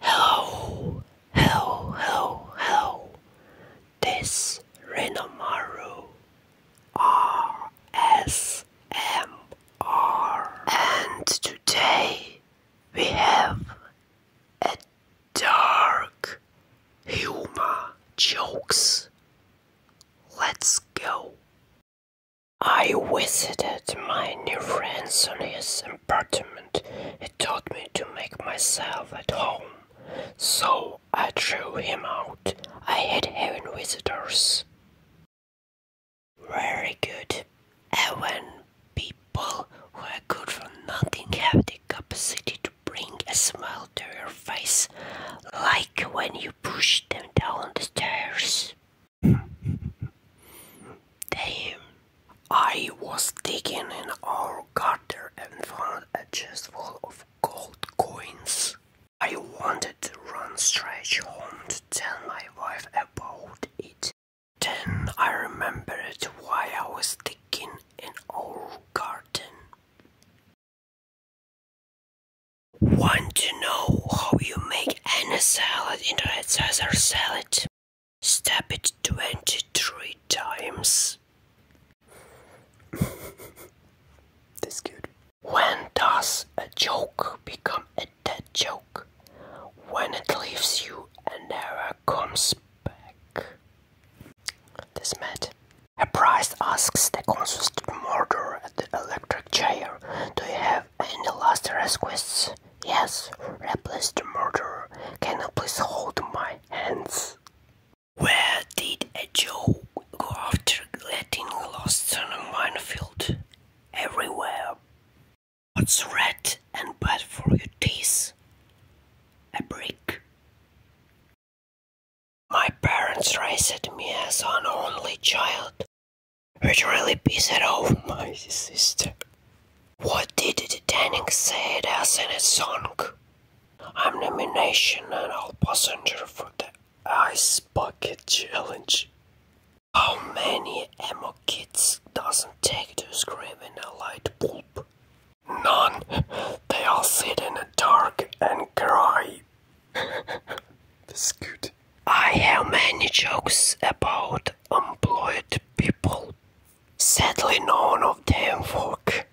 Hello, hello, hello, hello. This Renomaru RSMR, and today we have a dark humor jokes. Let's go. I visited my new friends on his apartment, he taught me to make myself at home. So I threw him out. I had having visitors. Very good. And people who are good for nothing have the capacity to bring a smile to your face, like when you push them down the stairs. Damn, I was digging in our garden and found a chest full of gold coins. I wanted to run straight home to tell my wife about it. Then I remembered why I was digging in our garden. Want to know how you make any salad into a Caesar salad? Step it 23 times. That's good. When does a joke become a dead joke? When it leaves you and error comes back. This Matt. A priest asks the conscious murder at the electric chair, Do you have in the last request, yes, replace the murder. Can you please hold my hands? Where did a joke go after getting lost in a minefield? Everywhere. What's red and bad for your teeth? A brick. My parents raised me as an only child. Which really pissed off my sister. What did the Titanic say it as in its song? I'm nomination and I'll passenger for the Ice Bucket Challenge. How many emo kids doesn't take to scream in a light bulb? None. They all sit in the dark and cry. That's good. I have many jokes about employed people. Sadly, none of them work.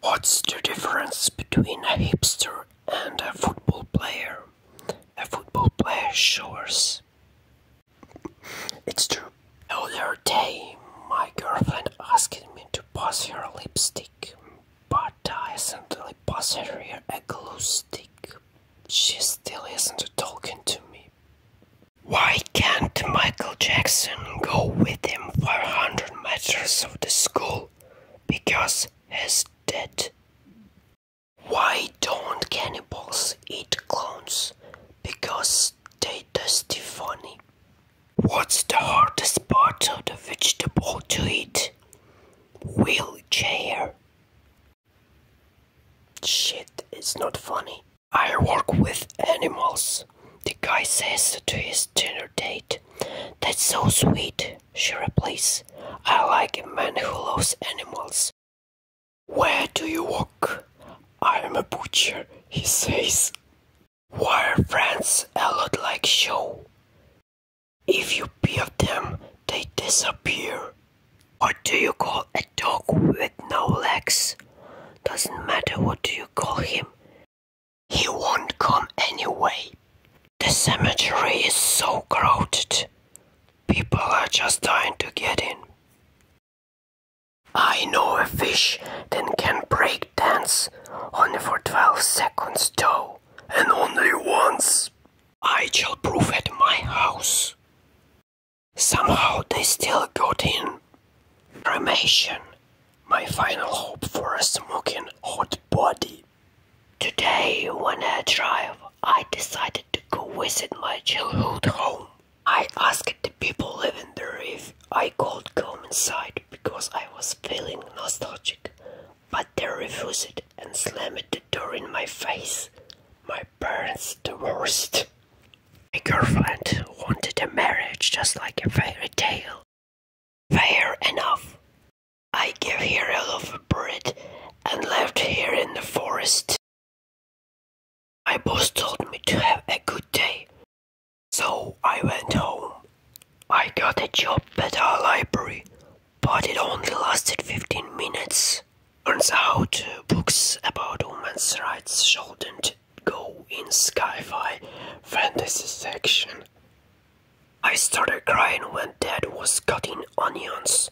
What's the difference between a hipster and a football player? A football player showers. It's true. Earlier day, my girlfriend asked me to pass her lipstick, but I accidentally passed her a glue stick. She still isn't talking to me. Why can't Michael Jackson go with him 500 meters of the school? Because he's dead. Why don't cannibals eat clowns? Because they tasty funny. What's the hardest part of the vegetable to eat? Wheelchair. Shit, it's not funny. I work with animals, the guy says to his dinner date. That's so sweet, she replies. I like a man who loves animals. Where do you work? I am a butcher, he says. Why are friends a lot like show? If you beat them, they disappear. What do you call a dog with no legs? Doesn't matter what do you call him. He won't come anyway. The cemetery is so crowded. People are just trying to get in. I know a fish that can break dance only for 12 seconds though, and only once. I shall prove at my house. Somehow they still got in. Cremation, my final hope for a smoking hot body. Today, on a drive, I decided to go visit my childhood home. I asked the people living there if I could come inside because I was feeling nostalgic, but they refused and slammed the door in my face. My my parents divorced. My girlfriend wanted a marriage just like a fairy tale. Fair enough. I gave her a lovebird and left her in the forest. My boss told me to have a good day, so I went home. I got a job at our library, but it only lasted 15 minutes. Turns out books about women's rights shouldn't go in sci-fi fantasy section. I started crying when dad was cutting onions.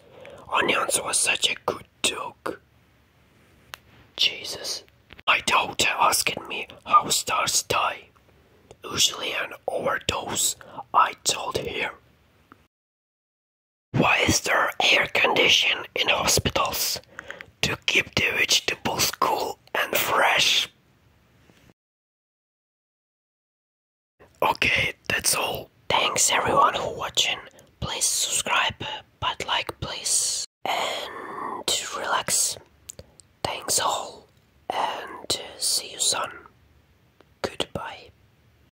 Onions was such a good joke. Jesus. My daughter asked me how stars die. Usually an overdose, I told her. Why is there air conditioning in hospitals? To keep the vegetables cool and fresh. Okay, that's all. Thanks everyone for watching. Please subscribe, but like please. And relax. Thanks all. And see you soon. Goodbye.